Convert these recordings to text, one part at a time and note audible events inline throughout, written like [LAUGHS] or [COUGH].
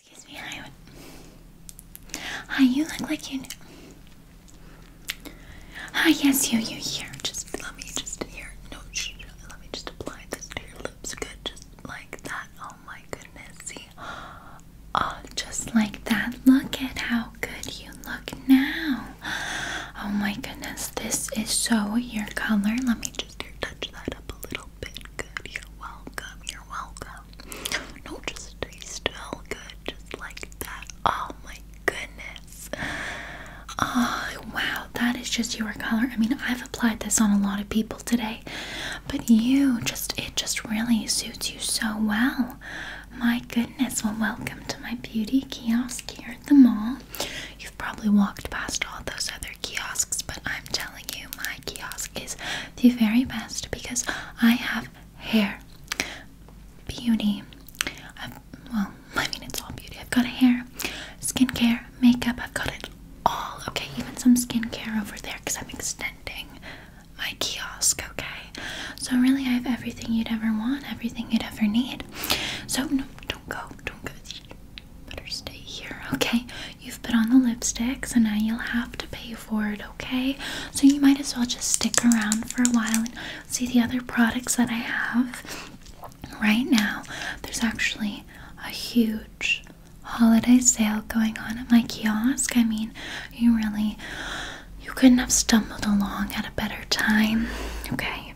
Excuse me, hi. Hi, you look like you. Know. Hi, yes, you, you here. Just let me just here. No, shh, let me just apply this to your lips. Good, just like that. Oh my goodness, see? Oh, just like that. Look at how good you look now. Oh my goodness, this is so your color. Let me just touch that up a little bit. Good, you're welcome. You're welcome. No, just stay still, good, just like that. Oh my goodness. Oh, wow, that is just your color. I mean, I've applied this on a lot of people today, but you just, it just really suits you so well. My goodness, well, welcome to my beauty kiosk here at the mall. You've probably walked past all those other kiosks, but I'm telling you, my kiosk is the very best because I have hair, beauty. I've, um, well, [LAUGHS] I mean, it's all beauty. I've got hair, skincare, makeup. I've got it all. Okay, even some skincare over there because I'm extending my kiosk. Okay, so really, I have everything you'd ever want, everything you'd ever need. So no, don't go, don't go. better stay here. Okay, You've put on the lipstick, so now you'll have to pay for it, okay? So you might as well just stick around for a while and see the other products that I have. Right now, there's actually a huge holiday sale going on at my kiosk. I mean, you really you couldn't have stumbled along at a better time. Okay.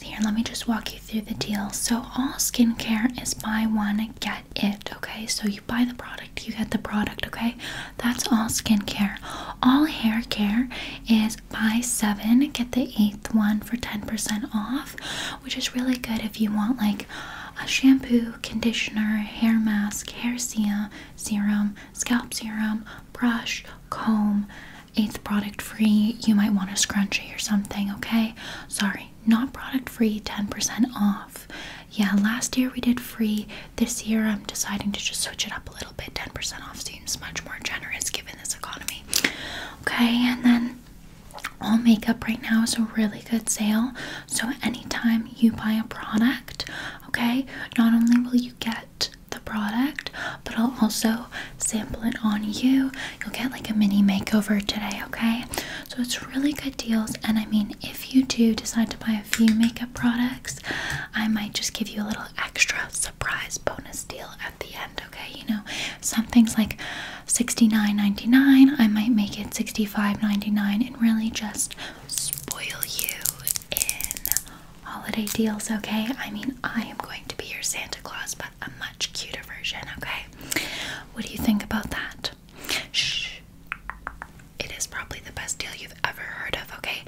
Here, let me just walk you through the deal. So all skincare is buy one, get it, okay? So you buy the product, you get the product, okay? That's all skincare. All hair care is buy seven, get the eighth one for 10% off, which is really good if you want like a shampoo, conditioner, hair mask, hair serum, serum scalp serum, brush, comb. Eighth product free, you might want a scrunchie or something, okay? Sorry, not product free 10% off yeah last year we did free this year i'm deciding to just switch it up a little bit 10% off seems much more generous given this economy okay and then all makeup right now is a really good sale so anytime you buy a product okay not only will you get the product but i'll also sample it on you you'll get like a mini makeover today okay so it's really good deals. And I mean, if you do decide to buy a few makeup products, I might just give you a little extra surprise bonus deal at the end, okay? You know, something's like $69.99, I might make it $65.99 and really just spoil you in holiday deals, okay? I mean, I am going to be your Santa Claus, but a much cuter version, okay? What do you think about that? Shh. It is probably the best deal you've ever heard of, okay?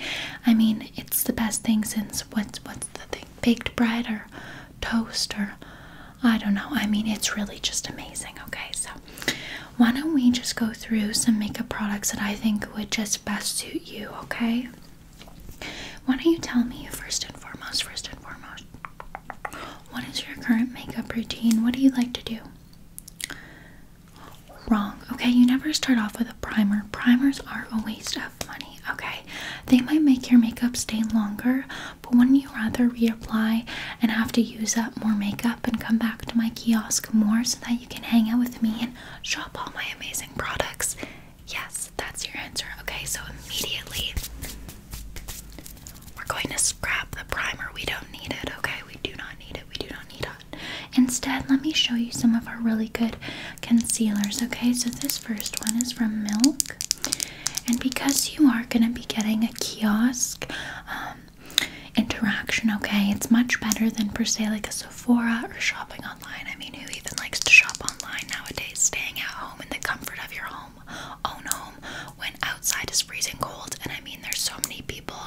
I mean, it's the best thing since what's what's the thing? Baked bread or toast or I don't know. I mean, it's really just amazing, okay? So, why don't we just go through some makeup products that I think would just best suit you, okay? Why don't you tell me first and foremost, first and foremost, what is your current makeup routine? What do you like to do? Wrong. Okay, you never start off with a primer. Primers are a waste of money. Okay, they might make your makeup stay longer, but wouldn't you rather reapply and have to use up more makeup and come back to my kiosk more so that you can hang out with me and shop all my amazing products? Yes, that's your answer. Okay, so immediately we're going to scrap the primer. We don't need it, okay? We do not need it. We do not need it. Instead, let me show you some of our really good concealers, okay? So, this first one is from Milk. And because you are going to be getting a kiosk um, interaction, okay, it's much better than per se like a Sephora or shopping online. I mean, who even likes to shop online nowadays? Staying at home in the comfort of your home own home, oh, when outside is freezing cold. And I mean, there's so many people,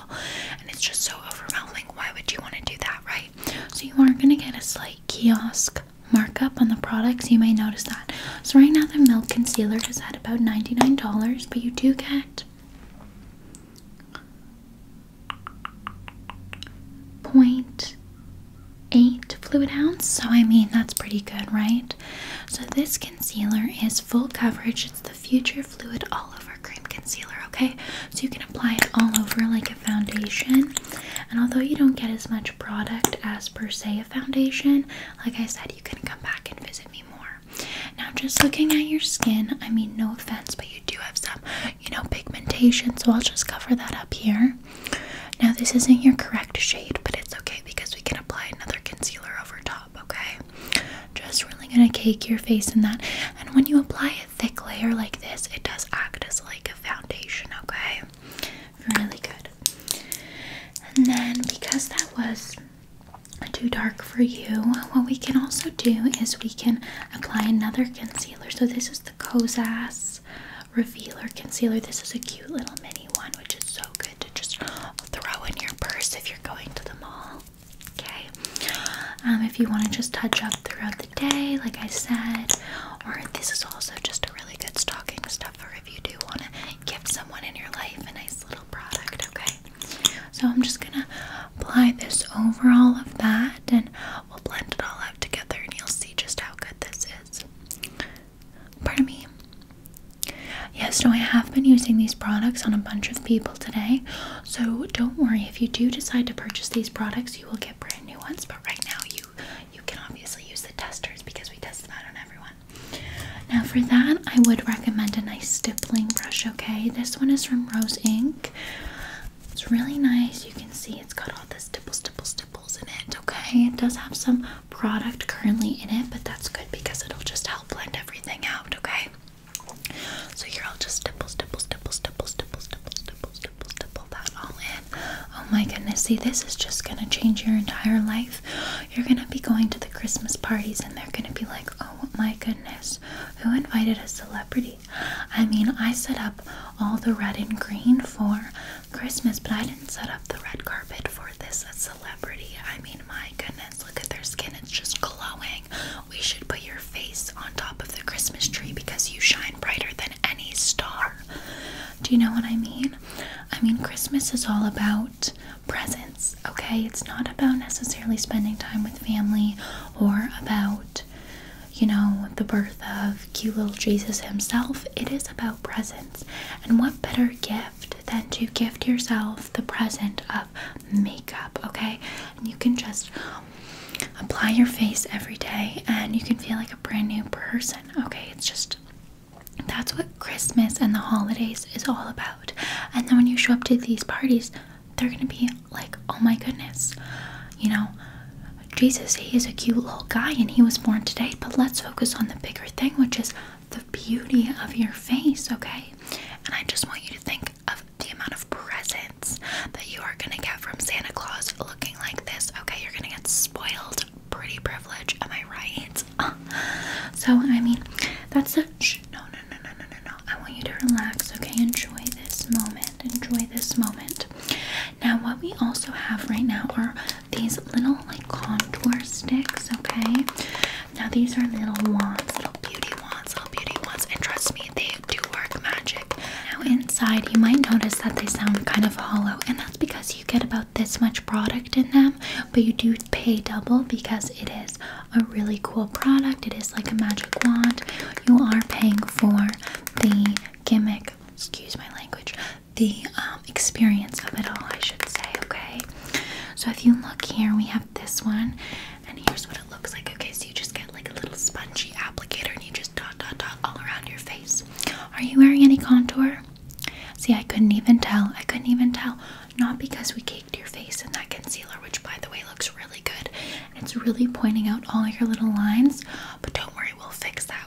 and it's just so overwhelming. Why would you want to do that, right? So, you are going to get a slight kiosk markup on the products. You may notice that. So, right now, the milk concealer is at about $99, but you do get. point eight fluid ounce so i mean that's pretty good right so this concealer is full coverage it's the future fluid all over cream concealer okay so you can apply it all over like a foundation and although you don't get as much product as per se a foundation like i said you can come back and visit me more now just looking at your skin i mean no offense but you do have some you know pigmentation so i'll just cover that up here now, this isn't your correct shade, but it's okay because we can apply another concealer over top, okay? Just really gonna cake your face in that. And when you apply a thick layer like this, it does act as like a foundation, okay? Really good. And then, because that was too dark for you, what we can also do is we can apply another concealer. So, this is the Kozas revealer concealer. This is a cute little mini one, which is so good to just throw in your purse if you're going to the mall. Okay. Um, if you want to just touch up throughout the day, like I said, or this is also just a really good stocking stuffer if you do want to give someone in your life a nice little product. Okay. So I'm just gonna apply this over all of that, and we'll blend it all out together, and you'll see just how good this is. Pardon me. Yes, no, I have been using these products on a bunch of people today. So don't worry, if you do decide to purchase these products, you will get brand new ones. But right now you you can obviously use the testers because we test them out on everyone. Now for that, I would recommend a nice stippling brush, okay? This one is from Rose Ink. It's really nice. You can see it's got all this stipple, stipple, stipple samples in it, okay? It does have some product currently in it, but that's good because it'll just help blend everything out, okay? So here I'll just stipple, stipple, stipple, stipple, stipple, stipple, stipple, stipple, stipple that all in. Oh my goodness, see this is just gonna change your entire life. You're gonna be going to the Christmas parties and they're gonna be like, oh my goodness, who invited a celebrity? I mean, I set up all the red and green for Christmas, but I didn't set up the red carpet for this celebrity. I mean, my goodness, look at their skin, it's just glowing. We should put your face on top of the Christmas tree because you shine brighter than any star. Do you know what I mean? I mean, Christmas is all about presents, okay? It's not about necessarily spending time with family or about you know, the birth of cute little Jesus himself, it is about presents. And what better gift than to gift yourself the present of makeup, okay? And you can just apply your face every day and you can feel like a brand new person, okay? It's just that's what Christmas and the holidays is all about. And then when you show up to these parties, they're gonna be like, oh my goodness, you know, Jesus, he is a cute little guy and he was born today, but let's focus on the bigger thing, which is the beauty of your face, okay? And I just want you to think of the amount of presents that you are gonna get from Santa Claus looking like this, okay? You're gonna get spoiled, pretty privilege, am I right? Uh, [LAUGHS] so, I mean, that's a shh, no, no, no, no, no, no, no. I want you to relax, okay? Enjoy this moment, enjoy this moment. Now, what we also have right now are these little like contour sticks, okay? Now, these are little wands, little beauty wands, little beauty wands, and trust me, they do work magic. Now, inside, you might notice that they sound kind of hollow, and that's because you get about this much product in them, but you do pay double because it is a really cool product. It is like a magic wand. You are paying for the gimmick excuse my language, the um, experience of it all, I should say, okay? So if you look here, we have this one, and here's what it looks like, okay? So you just get like a little spongy applicator and you just dot, dot, dot all around your face. Are you wearing any contour? See, I couldn't even tell. I couldn't even tell. Not because we caked your face in that concealer, which by the way looks really good. It's really pointing out all your little lines, but don't worry, we'll fix that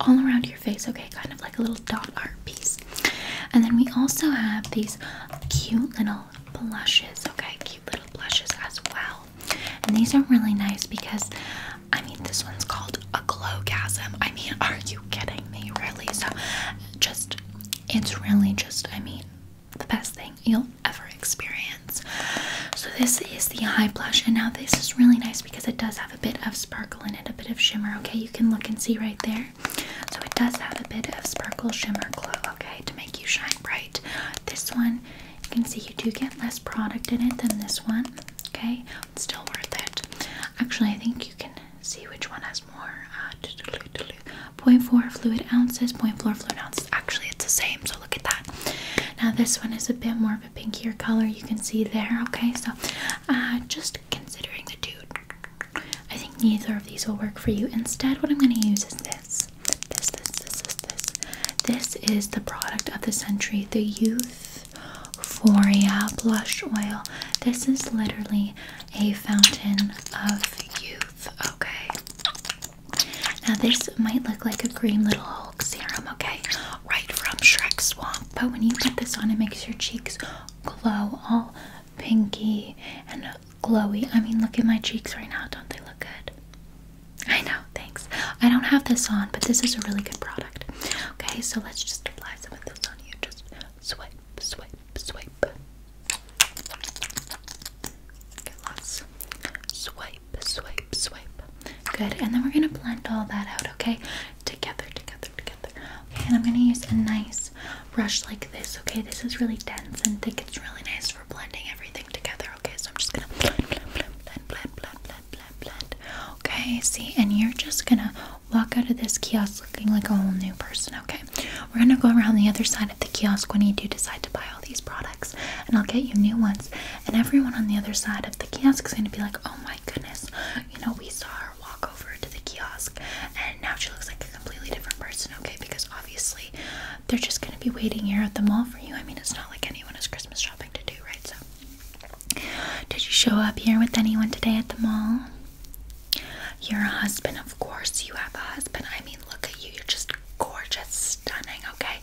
all around your face, okay? Kind of like a little dot art piece. And then we also have these cute little blushes, okay? Cute little blushes as well. And these are really nice because, I mean, this one's called a glowgasm. I mean, [LAUGHS] are you kidding me? Really? So, just, it's really just, I mean, the best thing you'll ever experience. So, this is the high blush, and now this is really nice because it does have a bit of sparkle in it, a bit of shimmer. Okay, you can look and see right there. So it does have a bit of sparkle, shimmer, glow. Okay, to make you shine bright. This one, you can see you do get less product in it than this one. Okay, still worth it. Actually, I think you can see which one has more. Uh, 0.4 fluid ounces, 0.4 fluid ounces. Actually, it's the same look at that. Now this one is a bit more of a pinkier color. You can see there. Okay, so uh, just considering the two, I think neither of these will work for you. Instead, what I'm going to use is this. This, this, this, this, this. This is the product of the century, the Youth Euphoria Blush Oil. This is literally a fountain of youth. Okay. Now this might look like a green little Hulk serum. Okay right from Shrek Swamp. But when you put this on, it makes your cheeks glow all pinky and glowy. I mean, look at my cheeks right now. Don't they look good? I know, thanks. I don't have this on, but this is a really good product. Okay, so let's just apply some of this on you. Just swipe, swipe, swipe. Swipe, swipe, swipe, Good, and then we're gonna blend all that out, okay? Together, together, together. Okay, and I'm gonna use a nice brush like this, okay? This is really dense and thick. It's really nice for blending everything together, okay? So I'm just gonna blend, blend, blend, blend, blend, blend, blend. Okay, see, and you're just gonna walk out of this kiosk looking like a whole new person, okay? We're gonna go around the other side of the kiosk when you do decide to buy all these products, and I'll get you new ones and everyone on the other side of the kiosk is going to be like, oh my goodness, you know, we saw her walk over to the kiosk and now she looks like a completely different person, okay? Because obviously they're just going to be waiting here at the mall for you. I mean, it's not like anyone has Christmas shopping to do, right? So, did you show up here with anyone today at the mall? You're a husband, of course. You have a husband. I mean, look at you. You're just gorgeous, stunning, okay?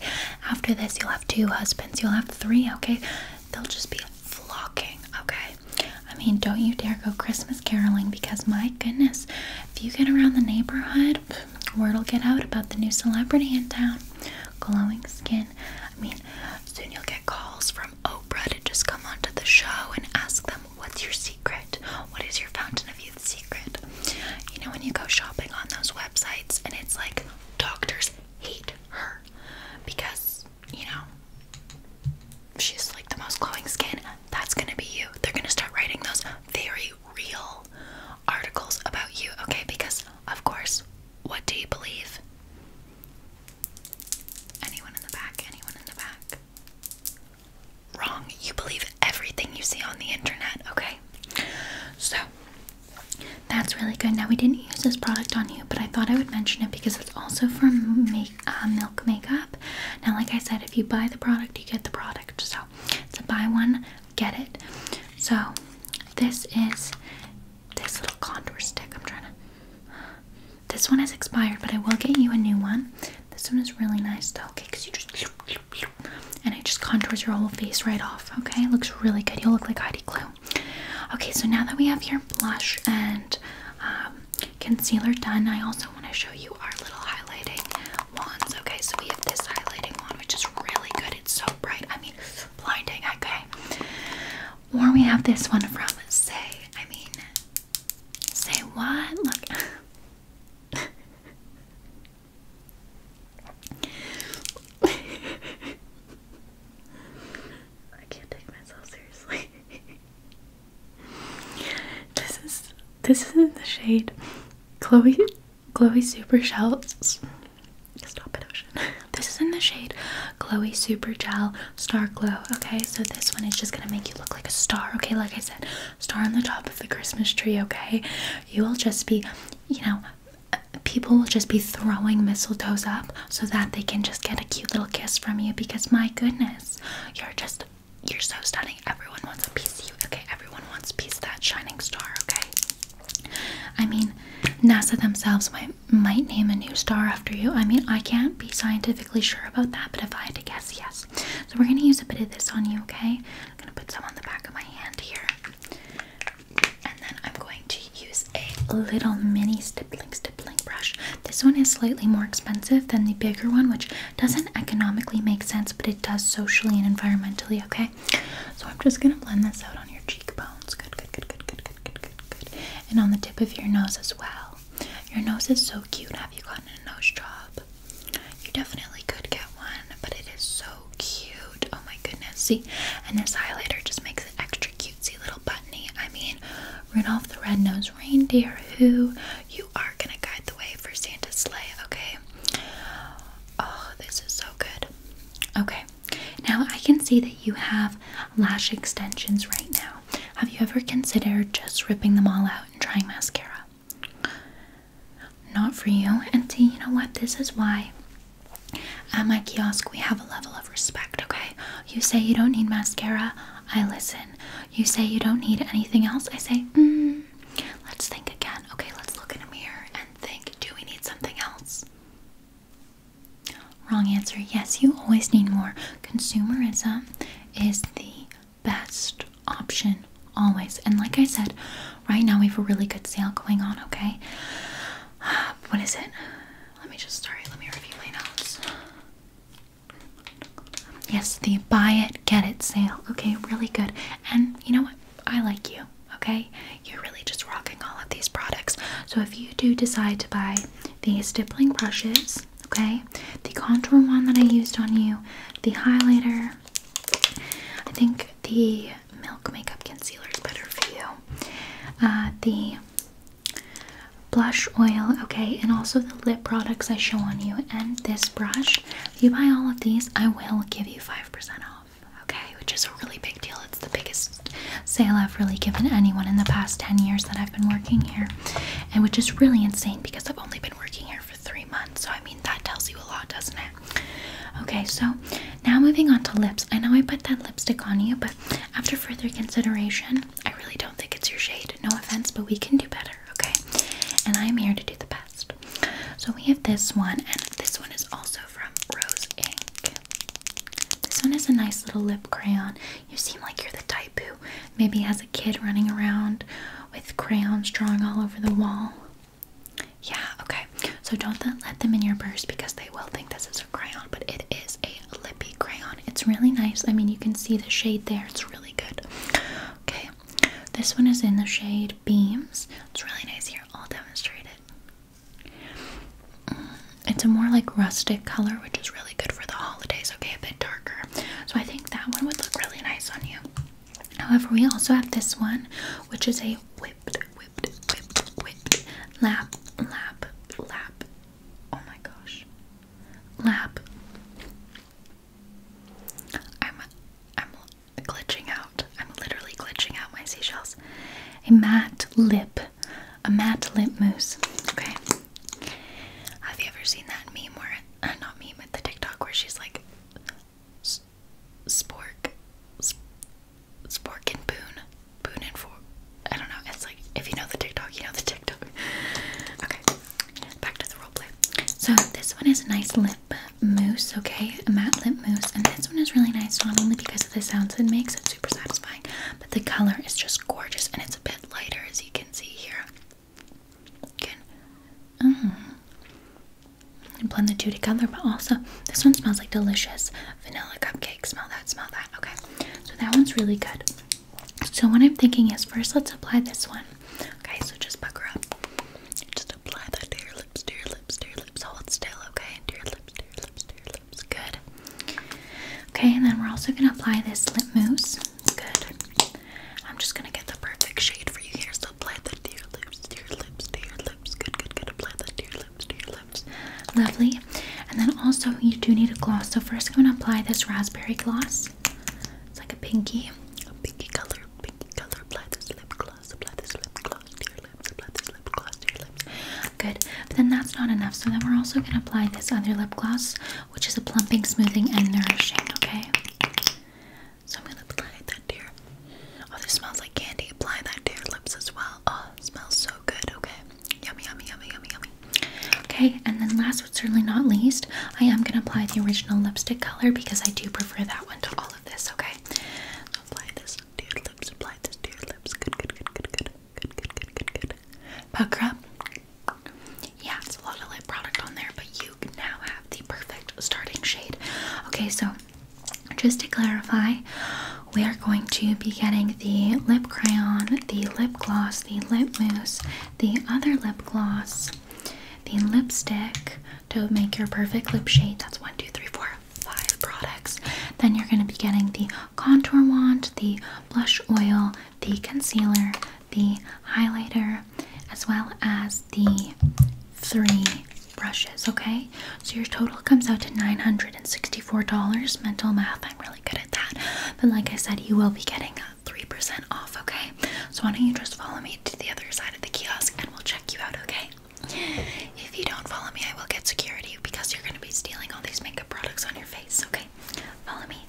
After this, you'll have two husbands, you'll have three, okay? They'll just be flocking, okay? I mean, don't you dare go Christmas caroling because my goodness, if you get around the neighborhood, word'll get out about the new celebrity in town. Glowing skin. I mean, soon you'll get calls from Oprah to just come onto the show and ask them, What's your secret? What is your fountain of youth secret? You know, when you go shopping on those websites and it's like doctors hate her because, you know, she's like the most glowing skin. That's gonna be you. They're gonna start writing those very real articles about you, okay? Because, of course, what do you believe? Anyone in the back? Anyone in the back? Wrong. You believe everything you see on the internet, okay? So, that's really good. Now, we didn't use this product on you, but I thought I would mention it because it's also for uh, milk makeup. Now, like I said, if you buy the product, you get the product. So, it's a buy one, get it. So, this is this little contour stick. I'm trying to. This one has expired, but I will get you a new one. This one is really nice, though, okay? Because you just and it just contours your whole face right off. Okay, it looks really good. You'll look like Heidi Klum. Okay, so now that we have your blush and um, concealer done, I also want to show you our little highlighting wands. Okay, so we have this highlighting wand, which is really good. It's so bright. I mean, blinding. Okay, or we have this one from Say. I mean, Say what? Look. [LAUGHS] I can't take myself seriously. this is this isn't the shade. Chloe Chloe Super Shell Stop it, Ocean. [LAUGHS] This is in the shade Chloe Super Gel Star Glow. Okay, so this one is just gonna make you look like a star. Okay, like I said, star on the top of the Christmas tree. Okay, you will just be you know, people will just be throwing mistletoes up so that they can just get a cute little kiss from you because my goodness, you're just you're so stunning. Everyone wants a piece of you. Okay, everyone wants a piece of that shining star, okay? I mean, NASA themselves might might name a new star after you. I mean, I can't be scientifically sure about that, but if I had to guess, yes. So we're gonna use a bit of this on you, okay? I'm gonna put some on the back of my hand here. And then I'm going to use a little mini stippling stippling brush. This one is slightly more expensive than the bigger one, which doesn't economically make sense, but it does socially and environmentally, okay? So I'm just gonna blend this out on your cheekbones. Good, good, good, good, good, good, good, good, good. And on the tip of your nose as well. Your nose is so cute. Have you gotten a nose job? You definitely could get one, but it is so cute. Oh my goodness. See, and this highlighter just makes it extra cutesy little buttony. I mean, Rudolph the Red-Nosed Reindeer, who you are gonna guide the way for Santa's sleigh, okay? Oh, this is so good. Okay, now I can see that you have lash extensions right now. Have you ever considered just ripping them all out and trying mascara? not for you. And see, you know what? This is why at my kiosk we have a level of respect, okay? You say you don't need mascara, I listen. You say you don't need anything else, I say, mm, let's think again. Okay, let's look in a mirror and think, do we need something else? Wrong answer. Yes, you always need more. Consumerism is the best option always. And like I said, right now we have a really good sale going on, okay? [SIGHS] what is it? Let me just, sorry, let me review my notes. Yes, the buy it, get it sale. Okay, really good. And you know what? I like you, okay? You're really just rocking all of these products. So if you do decide to buy these stippling brushes, okay, the contour one that I used on you, the highlighter, I think the Milk Makeup Concealer is better for you. Uh, the blush oil, okay, and also the lip products I show on you, and this brush. If you buy all of these, I will give you 5% off, okay, which is a really big deal. It's the biggest sale I've really given anyone in the past 10 years that I've been working here, and which is really insane because I've only been working here three months. So, I mean, that tells you a lot, doesn't it? Okay, so now moving on to lips. I know I put that lipstick on you, but after further consideration, I really don't think it's your shade. No offense, but we can do better, okay? And I'm here to do the best. So, we have this one, and this one is also from Rose Ink. This one is a nice little lip crayon. You seem like you're the type who maybe has a kid running around with crayons drawing all over the wall. Yeah, okay. So don't let them in your purse because they will think this is a crayon, but it is a lippy crayon. It's really nice. I mean, you can see the shade there. It's really good. Okay. This one is in the shade Beams. It's really nice here. I'll demonstrate it. Mm, it's a more like rustic color, which is really good for the holidays, okay? A bit darker. So I think that one would look really nice on you. However, we also have this one, which is a whipped, whipped, whipped, whipped lap, lap, lap. Oh my gosh, lap. I'm, I'm glitching out. I'm literally glitching out my seashells. A matte lip, a matte lip mousse. Okay. Have you ever seen that meme where, uh, not meme, but the TikTok where she's like, spork, spork and boon, boon and for. I don't know. It's like if you know the TikTok, you know the TikTok. [LAUGHS] Okay, back to the roleplay. So this one is a nice lip mousse, okay, a matte lip mousse, and this one is really nice not only because of the sounds it makes, it's super satisfying, but the color is just gorgeous and it's a bit lighter as you can see here. Good. -hmm. And blend the two together, but also this one smells like delicious vanilla cupcake. Smell that, smell that. Okay, so that one's really good. So, what I'm thinking is first, let's apply this one. Okay, so just pucker up. Just apply that to your lips, to your lips, to your lips. Hold still, okay? To your lips, to your lips, to your lips. Good. Okay, and then we're also going to apply this lip mousse. Good. I'm just gonna get the perfect shade for you here. So apply that to your lips, to your lips, to your lips. Good, good, good. Apply that to your lips, to your lips. Lovely. And then also you do need a gloss. So first I'm gonna apply this raspberry gloss. It's like a pinky, a pinky color, pinky color. Apply this lip gloss. Apply this lip gloss to your lips. Apply this lip gloss to your lips. Good. But then that's not enough. So then we're also gonna apply this other lip gloss, which is a plumping, smoothing, and nourishing. Okay. So I'm gonna apply that to your. Oh, this smells like candy. Apply that to your lips as well. Oh, it smells so good. Okay, yummy, yummy, yummy, yummy, yummy. Okay, and then last but certainly not least, I am gonna apply the original lipstick color because I do prefer that one to all of this. Okay, so apply this to your lips. Apply this to your lips. Good, good, good, good, good, good, good, good, good, good. Pucker up. Yeah, it's a lot of lip product on there, but you now have the perfect starting shade. Okay, so just to clarify, we are going to be getting the lip crayon, the lip gloss, the lip mousse, the other lip gloss, the lipstick to make your perfect lip shade. That's one, two, three, four, five products. Then you're going to be getting the contour wand, the blush oil, the concealer, the highlighter as well as the three brushes okay so your total comes out to $964 mental math i'm really good at that but like i said you will be getting 3% off okay so why don't you just follow me to the other side of the kiosk and we'll check you out okay if you don't follow me i will get security because you're going to be stealing all these makeup products on your face okay follow me